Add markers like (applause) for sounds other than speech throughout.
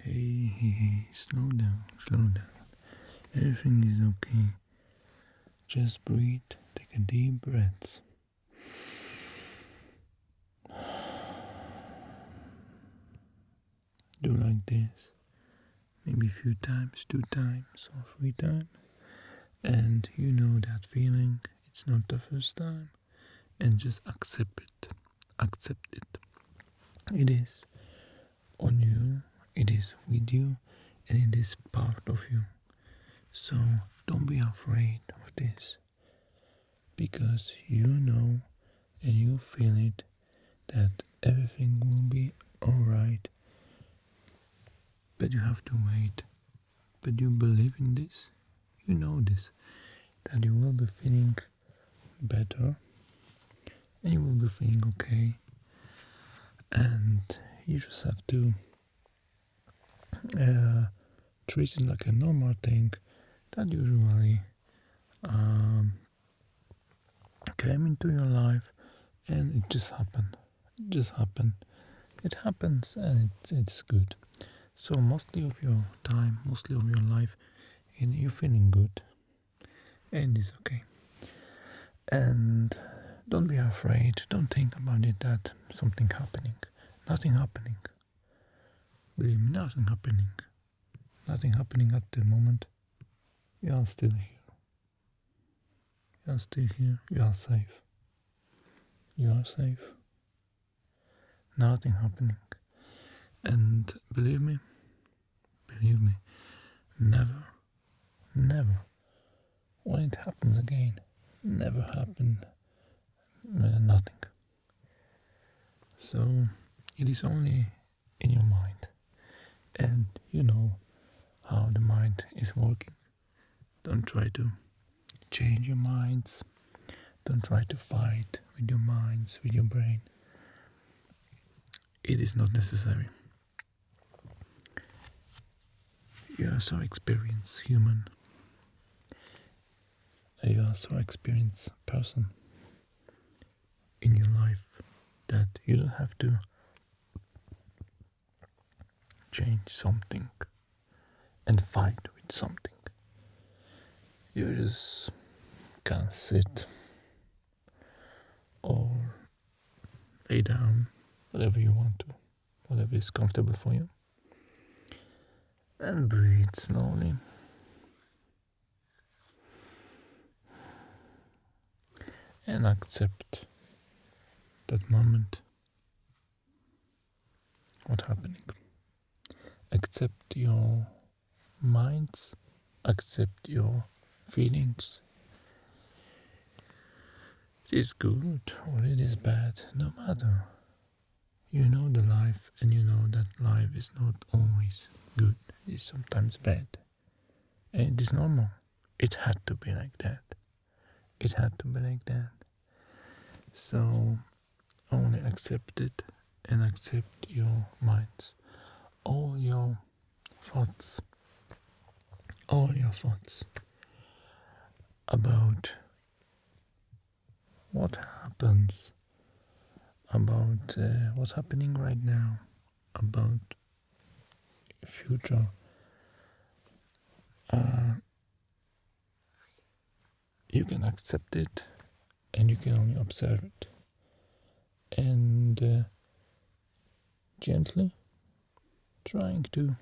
Hey, hey, hey, slow down, slow down. Everything is okay. Just breathe, take a deep breath. Do like this, maybe a few times, two times, or three times. And you know that feeling, it's not the first time and just accept it. Accept it. It is on you, it is with you, and it is part of you. So don't be afraid of this because you know and you feel it that everything will be alright. But you have to wait. But you believe in this, you know this, that you will be feeling better and you will be thinking okay and you just have to uh, treat it like a normal thing that usually um, came into your life and it just happened it just happened it happens and it's good so mostly of your time, mostly of your life, and you're feeling good, and it's okay. And don't be afraid. Don't think about it that something happening, nothing happening. Believe nothing happening, nothing happening at the moment. You are still here. You are still here. You are safe. You are safe nothing happening. And believe me, believe me, never, never, when it happens again, never happen uh, nothing. So it is only in your mind, and you know how the mind is working. Don't try to change your minds don't try to fight with your minds, with your brain. It is not necessary. You are so experienced human. You are so experienced person in your life that you don't have to change something and fight with something you just can sit or lay down, whatever you want to, whatever is comfortable for you. And breathe slowly. And accept that moment, what's happening accept your minds, accept your feelings. It is good or it is bad, no matter. You know the life and you know that life is not always good, it is sometimes bad. And it is normal. It had to be like that. It had to be like that. So only accept it and accept your minds. All your thoughts, all your thoughts about what happens, about uh, what's happening right now, about future. Uh, you can accept it and you can only observe it and uh, gently trying to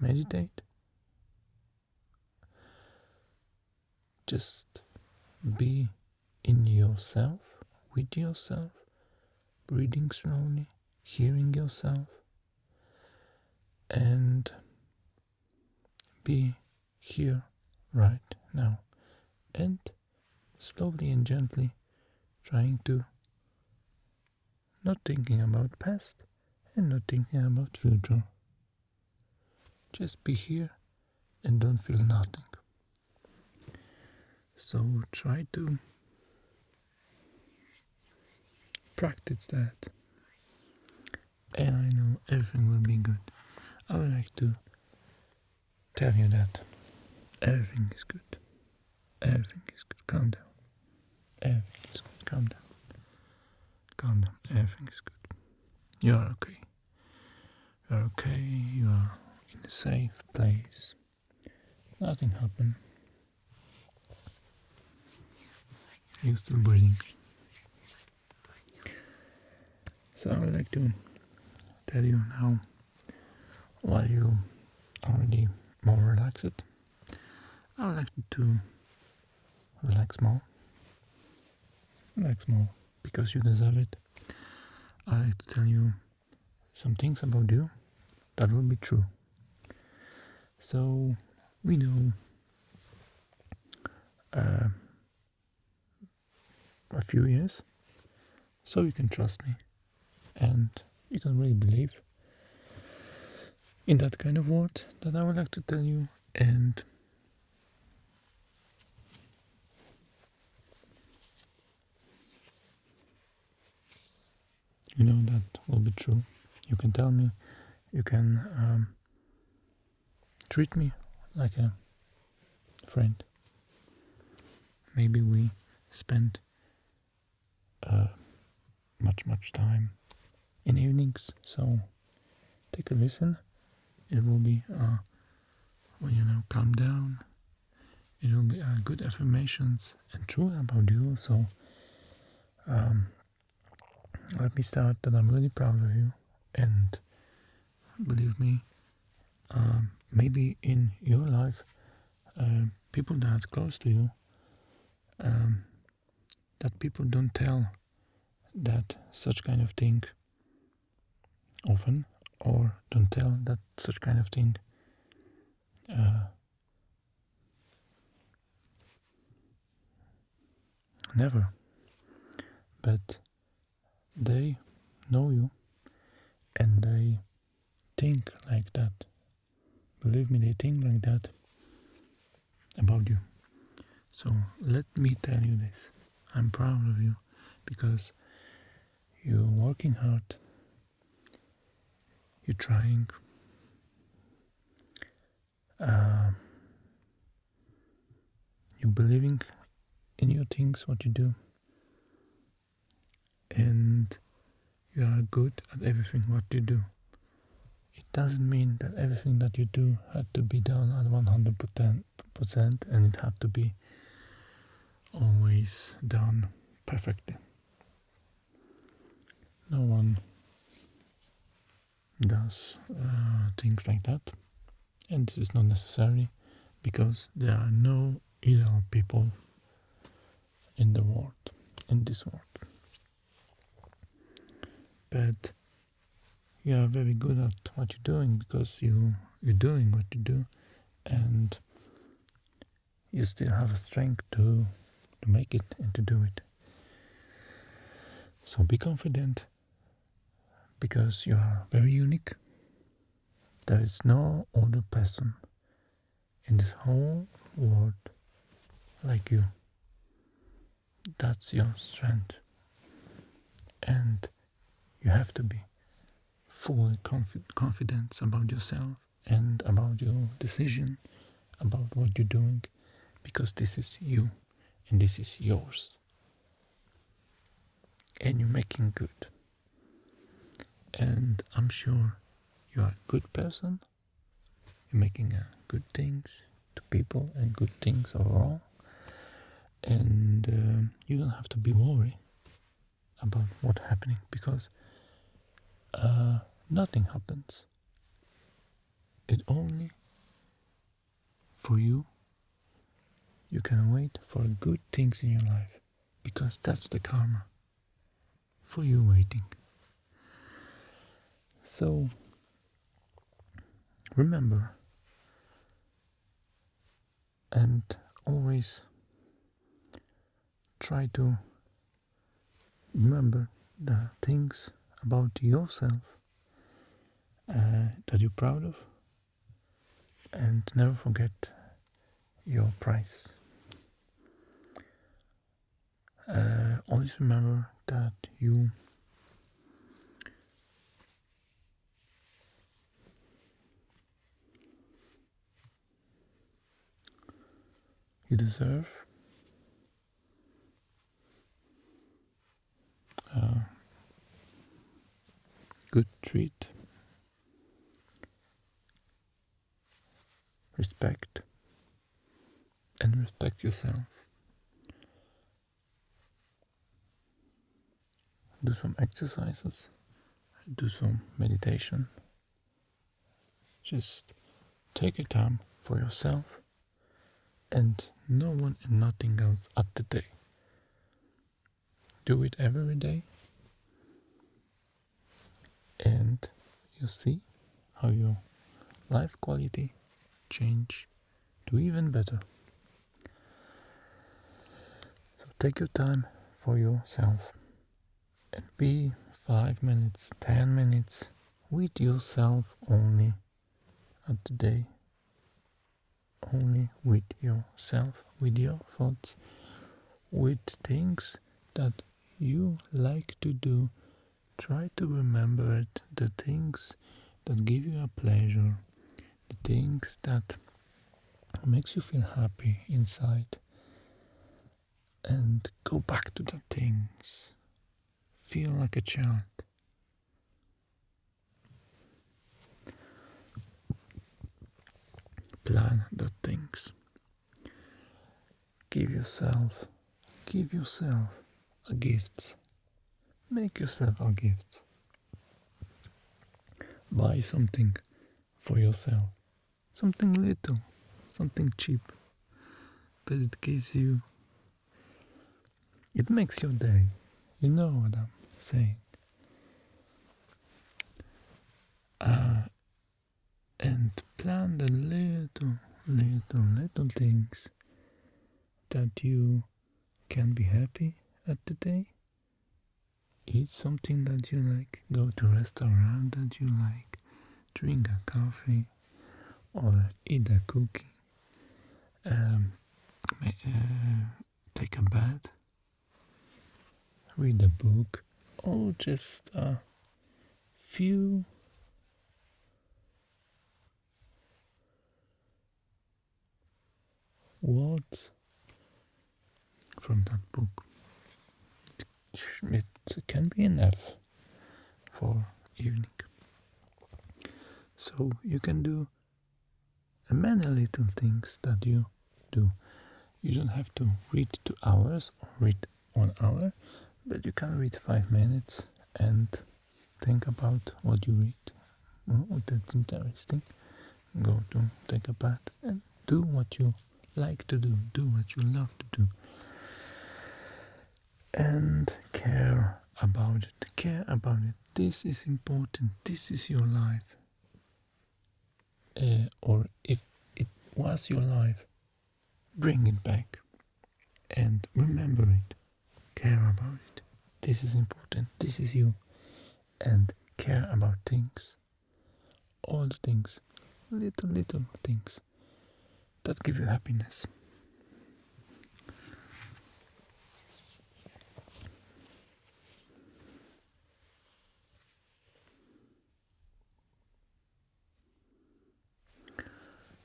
meditate just be in yourself with yourself breathing slowly hearing yourself and be here right now. And slowly and gently trying to not thinking about past and not thinking about future. Just be here and don't feel nothing. So try to practice that. And I know everything will be good. I would like to tell you that everything is good. Everything is good. Calm down. Everything is good. Calm down. Calm down. Everything is good. You are okay. You are okay. You are in a safe place. Nothing happened. You're still breathing. So I would like to tell you now while you already more relaxed. I would like to relax more. Relax more because you deserve it. I like to tell you some things about you that will be true. So we know uh, a few years, so you can trust me and you can really believe in that kind of word that I would like to tell you and you know that will be true. You can tell me, you can um, treat me like a friend. Maybe we spend uh, much, much time in evenings, so take a listen. It will be, uh, you know, calm down. It will be uh, good affirmations and true about you, so. Um, let me start that I'm really proud of you. And believe me, um, maybe in your life, um, people that are close to you, um, that people don't tell that such kind of thing often, or don't tell that such kind of thing uh, Never. But they know you and they think like that. Believe me, they think like that about you. So let me tell you this. I'm proud of you because you're working hard, you're trying, uh, you believing in your things, what you do, and you are good at everything what you do. It doesn't mean that everything that you do had to be done at 100% and it had to be always done perfectly. No one does uh, things like that, and this is not necessary because there are no ideal people in the world, in this world. But you are very good at what you're doing because you you're doing what you do, and you still have a strength to to make it and to do it. So be confident because you are very unique. There is no other person in this whole world like you. That's your strength. And you have to be fully confi- confident about yourself and about your decision, about what you're doing, because this is you and this is yours. And you're making good. And I'm sure you are a good person. You're making uh, good things to people and good things overall. And um, you don't have to be worried about what's happening because uh, nothing happens it only for you. You can wait for good things in your life because that's the karma for you waiting. So remember and always try to remember the things about yourself uh, that you're proud of and never forget your price. Uh, always remember that you you deserve uh, good treat. Respect and respect yourself. Do some exercises, do some meditation. Just take your time for yourself and no one and nothing else at the day. Do it every day and you see how your life quality change to even better. So take your time for yourself be five minutes, ten minutes with yourself only at the day. Only with yourself, with your thoughts, with things that you like to do. Try to remember the things that give you a pleasure, the things that makes you feel happy inside and go back to the things. Feel like a child. Plan the things. Give yourself, give yourself a gift. Make yourself a gift. Buy something for yourself something little, something cheap, but it gives you, it makes your day. You know what I'm saying. Uh, and plan the little, little, little things that you can be happy at the day. Eat something that you like, go to restaurant that you like, drink a coffee, or eat a cookie, um, uh, take a bath, read a book, or just a few words from that book it can be enough for evening. So you can do many little things that you do. You don't have to read two hours or read one hour, but you can read five minutes and think about what you read. Oh, that's interesting. Go to take a bath and do what you like to do, do what you love to do, and care about it. Care about it. This is important. This is your life. Eh, or if it was your life, bring it back and remember it. Care about it. This is important. This is you. And care about things. All the things. Little, little things that give you happiness.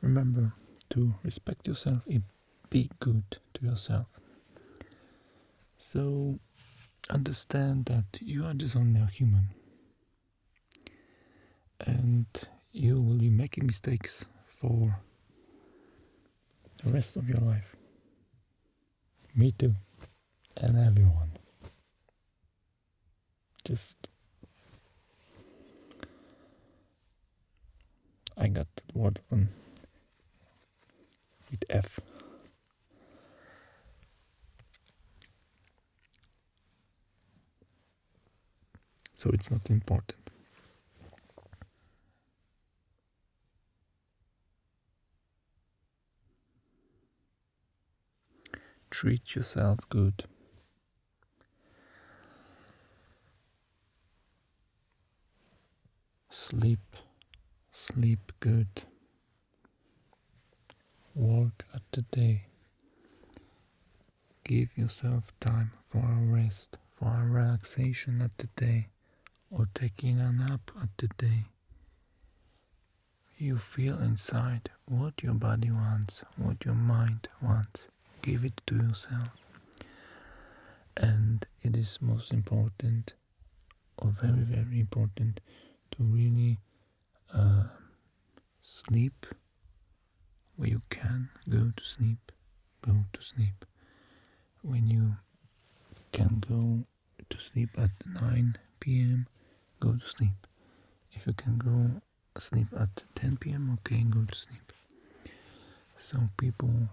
Remember to respect yourself be good to yourself. So understand that you are just only a human and you will be making mistakes for the rest of your life. Me too, and everyone. Just I got the word on with F. So it's not important. Treat yourself good. Sleep, sleep good. Work at the day. Give yourself time for a rest, for a relaxation at the day, or taking a nap at the day. You feel inside what your body wants, what your mind wants. Give it to yourself. And it is most important, or very, very important, to really uh, sleep where you can go to sleep, go to sleep. When you can go to sleep at 9 p.m., go to sleep. If you can go sleep at 10 p.m., okay, go to sleep. So people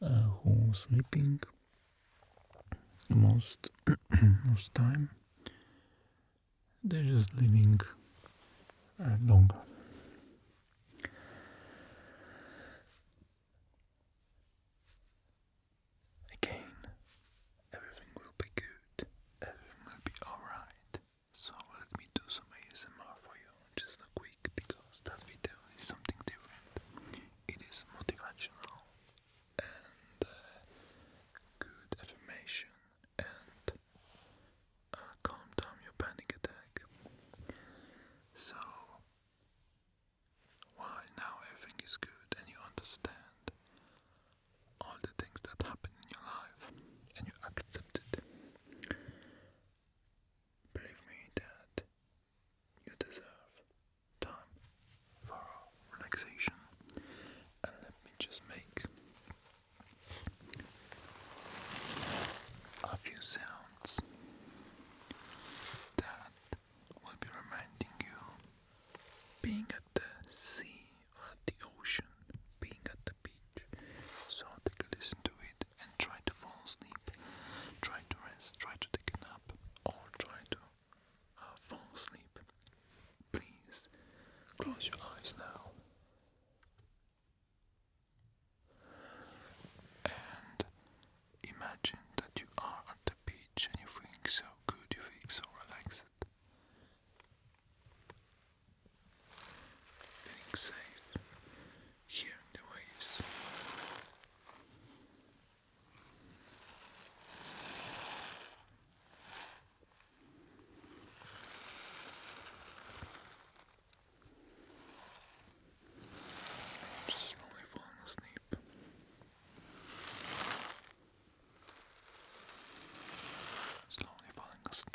uh, who sleeping most (coughs) most time they're just living longer. Again, everything will be good, everything will be alright. So, let me do some ASMR for you, just a quick, because that video is something different. It is motivational and uh, good affirmation and uh, calm down your panic attack. So, while now everything is good and you understand all the things that happen in your life and you accept it, believe me that you deserve time for all relaxation. And let me just make a few sounds that will be reminding you being at the sea at the ocean, being at the beach. So take a listen to it and try to fall asleep, try to rest, try to take a nap, or try to uh, fall asleep. Please close your eyes now. And imagine that you are at the beach and you're feeling so good, you're feeling so relaxed, feeling safe, hearing the waves. I'm just slowly falling asleep. Slowly falling asleep.